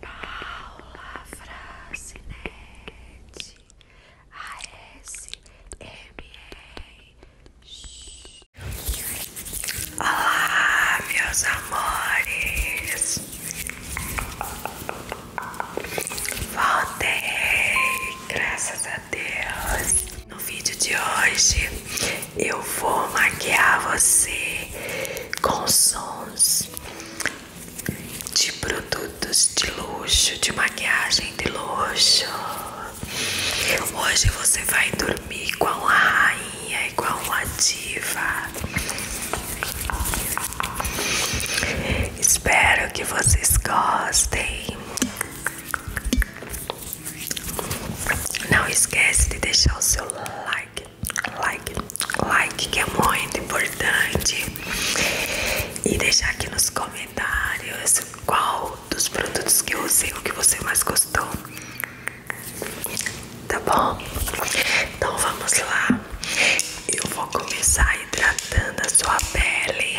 Paula Francinete ASMR Olá, meus amores Voltei, graças a Deus No vídeo de hoje eu vou maquiar você com sons de produtos de luxo, de maquiagem de luxo. Hoje você vai dormir com a rainha, e com a diva. Espero que vocês gostem. Não esquece de deixar o seu like like, like, like, que é muito importante. E deixar aqui nos comentários qual dos produtos que eu usei o que você mais gostou. Tá bom? Então vamos lá. Eu vou começar hidratando a sua pele.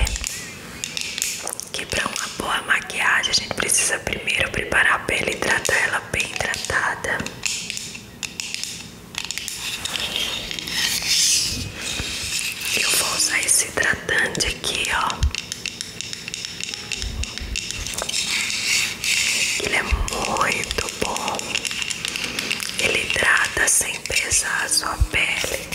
Que para uma boa maquiagem a gente precisa primeiro preparar a pele e tratar ela bem hidratada. Eu vou usar esse hidratante aqui, ó. Ele é muito bom. Ele hidrata sem pesar a sua pele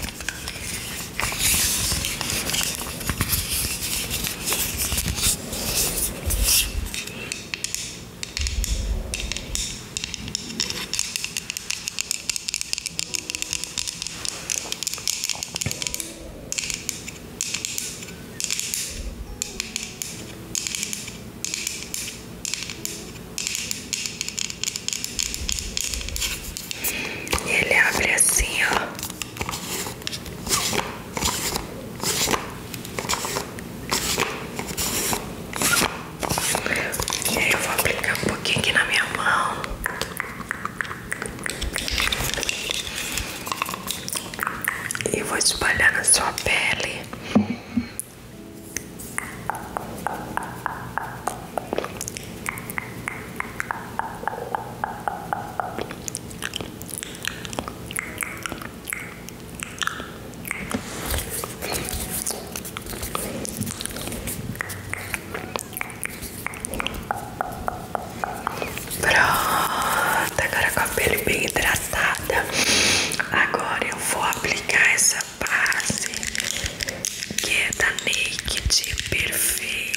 ele abre assim, ó. E aí eu vou aplicar um pouquinho aqui na minha mão. E vou espalhar na sua pele. Pronto, agora com a pele bem hidratada. Agora eu vou aplicar essa base que é da Naked Perfeita.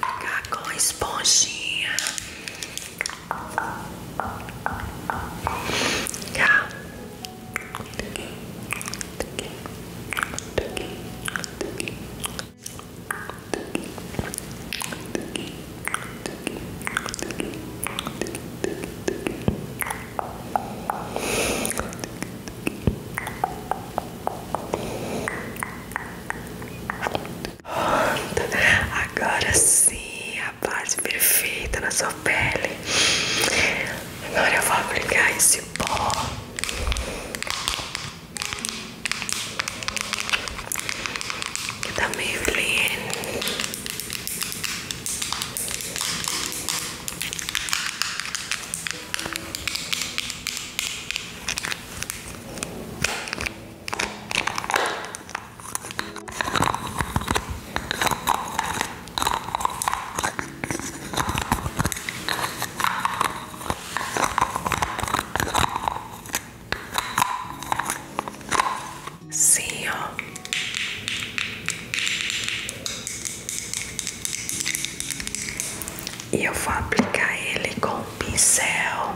Pegar com esponjinha. Agora sim, a base perfeita na sua pele. Agora eu vou aplicar esse pó. Que tá meio lindo. Sim, ó. E eu vou aplicar ele com um pincel,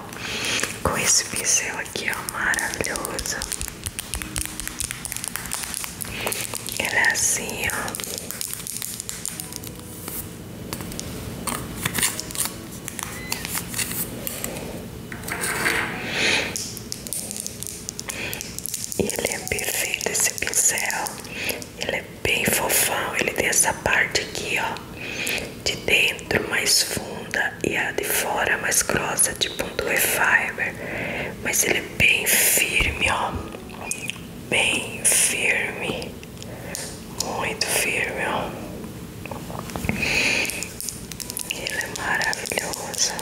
com esse pincel aqui, ó, maravilhoso. Ele é assim, ó. E ele é perfeito esse pincel, ele é bem fofão. Ele tem essa parte aqui, ó, de dentro mais funda e a de fora mais grossa, tipo um Due Fiber. Mas ele é bem firme, ó, bem firme, muito firme, ó. Ele é maravilhoso.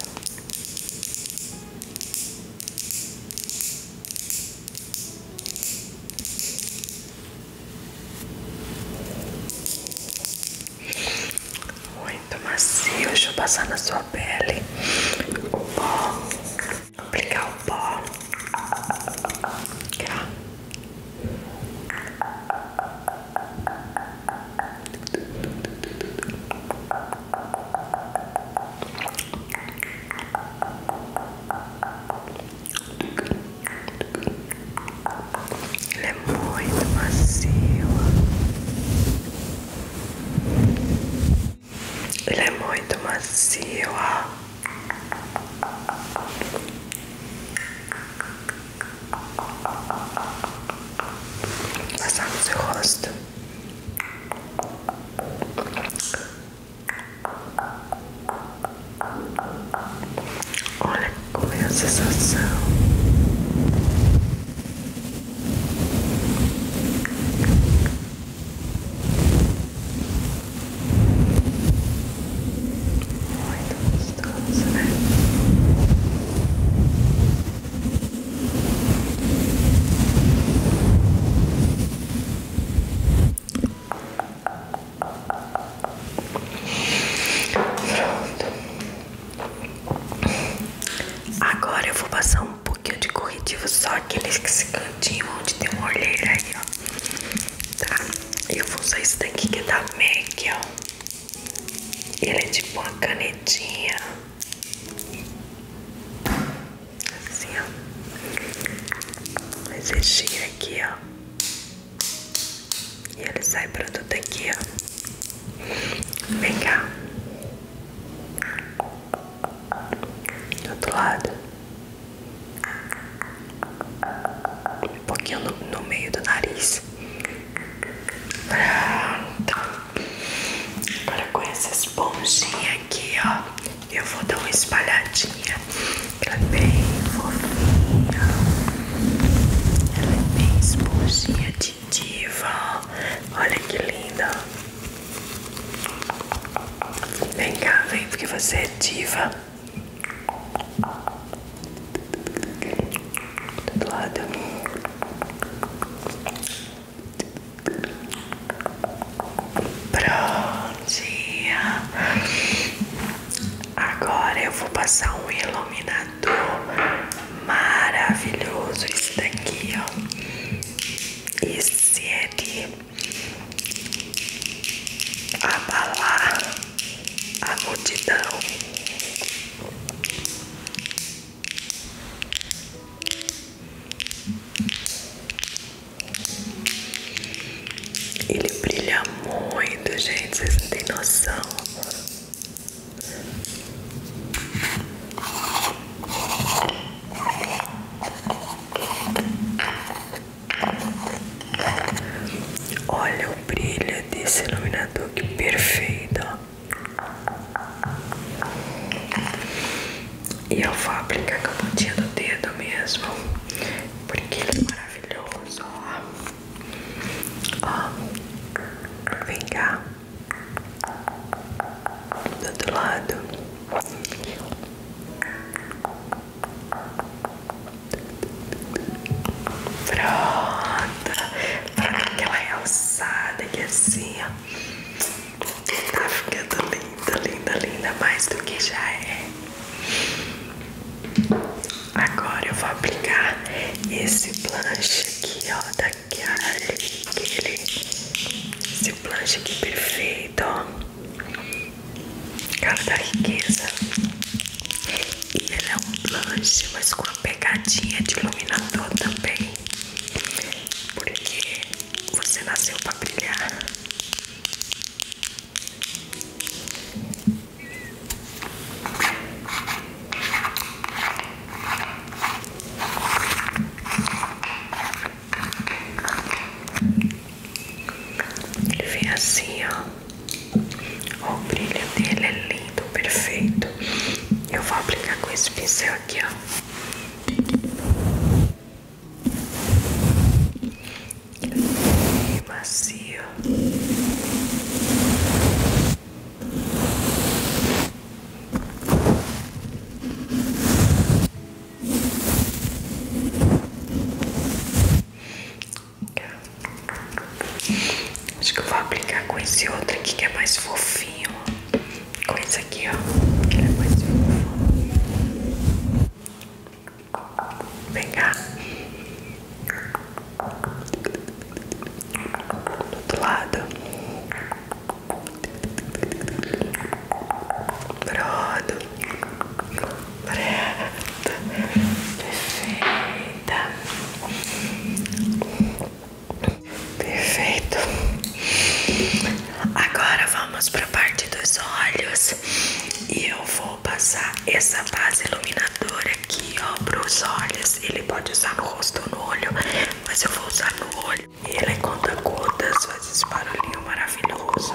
Muito macio, deixa eu passar na sua pele o pó, aplicar o pó. Tá. Ele é muito macio. Ele é muito macio. Passar no seu rosto. Olha como é a sensação. Muito gostoso, né? Agora eu vou passar um pouquinho de corretivo, só aquele esse cantinho onde tem uma olheira aí, ó. Tá? Eu vou usar esse daqui que é da MAC, ó. Ele é tipo uma canetinha. Assim, ó. Esse chia aqui, ó. E ele sai tudo aqui, ó. Vem cá. Do outro lado. Um pouquinho no, no meio do nariz. Pronto. Agora com essa esponjinha aqui, ó. Eu vou dar uma espalhadinha. Ela é bem fofinha. Ela é bem esponjinha de diva. Olha que linda. Vem cá, vem, porque você é diva. Do lado. Prontinho. Agora eu vou passar um iluminador maravilhoso. Esse daqui, ó. Esse é de abalar a multidão. Ele brilha muito, gente. Vocês não têm noção. Olha o brilho desse iluminador, que perfeito. Ó. E eu vou aplicar com a pontinha do dedo mesmo, porque ele é maravilhoso, ó. Ó, vem cá. Do outro lado. Pronto. Pra dar aquela realçada aqui assim, ó. Tá ficando linda, linda, linda, mais do que já é. Agora eu vou aplicar esse blush aqui, ó, da Chiara. Aquele, esse blush aqui perfeito, ó. Cara da riqueza. E ele é um blush, mas com uma pegadinha de iluminador também. Porque você nasceu pra brilhar. Ele vem assim, ó. O brilho dele é lindo, perfeito. Eu vou aplicar com esse pincel aqui, ó e macio. Acho que eu vou aplicar com esse outro aqui que é mais fofinho com isso aqui, ó, que é Vem cá. Do outro lado. Pronto. Pronto. Perfeita. Perfeito. Agora vamos para a parte dos olhos e eu vou passar essa base iluminadora aqui, ó, para os olhos. Ele pode usar no rosto ou no olho, mas eu vou usar no olho. Ele é conta gotas, faz esse barulhinho maravilhoso.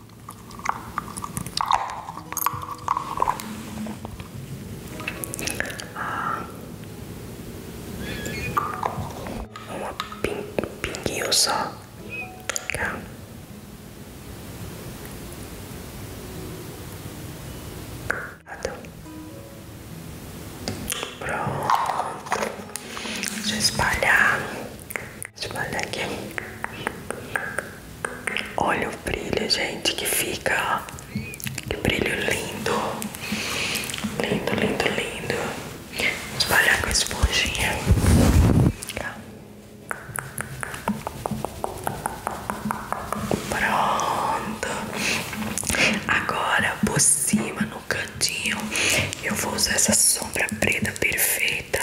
Uma pin, pinguinho só. Tá. Pronto. Deixa espalhar. Espalhar aqui. Olha o brilho, gente, que fica. Que brilho lindo. Lindo, lindo, lindo. espalhar com a esponjinha. Pronto. Agora, por cima, no cantinho, eu vou usar essa sombra preta perfeita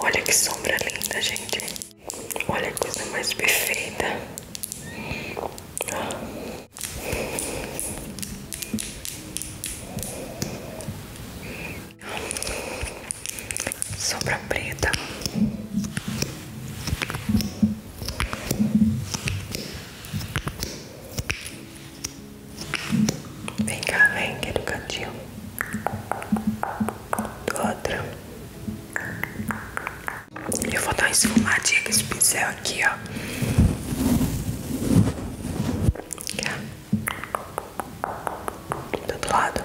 Olha que sombra linda, gente. Olha que coisa mais perfeita. Sombra preta. Vem cá, vem, que é do cantinho do outro. Eu vou dar uma esfumadinha com esse pincel aqui, ó. Do outro lado.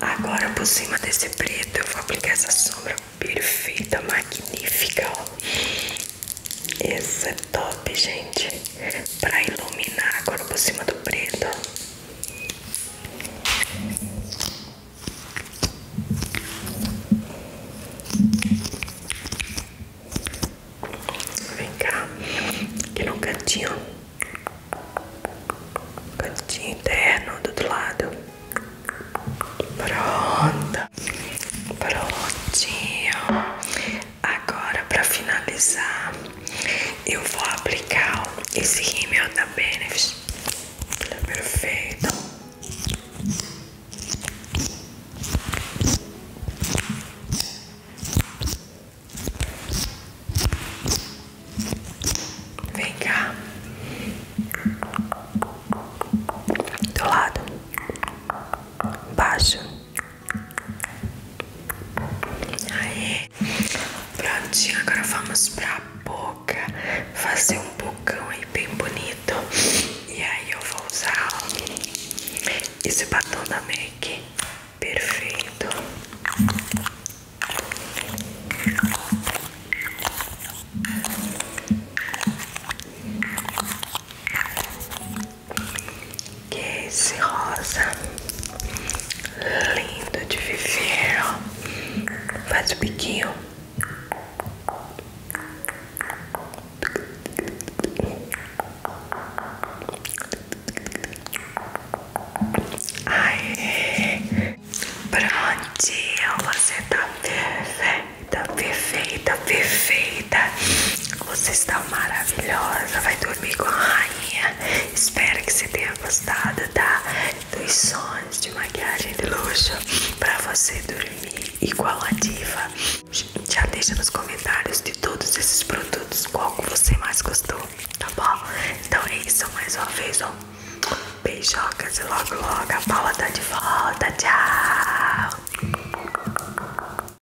Agora por cima desse preto eu vou aplicar essa sombra perfeita, magnífica, ó. Esse é top, gente. Pra iluminar agora por cima do preto. Vem cá. Aqui no cantinho. Cantinho interno do outro lado. Pronto. Prontinho. Agora, para finalizar, eu vou aplicar esse rímel da Benefit. perfeito. Vem cá. Do lado. Baixo prontinho, agora vamos pra boca Fazer um bocão aí bem bonito E aí eu vou usar esse batom da Make, Perfeito que é esse rosa lindo de viver, ó. Faz o biquinho. Aê! É. Prontinho, você tá perfeita, perfeita, perfeita. Você está maravilhosa. Vai dormir com a rainha. Espero que você tenha gostado tá? dos sons de maquiagem de luxo para você dormir igual a diva. Já deixa nos comentários de todos esses produtos qual você mais gostou, tá bom? Então é isso mais uma vez, ó. Beijocas e logo logo a Paula tá de volta. Tchau!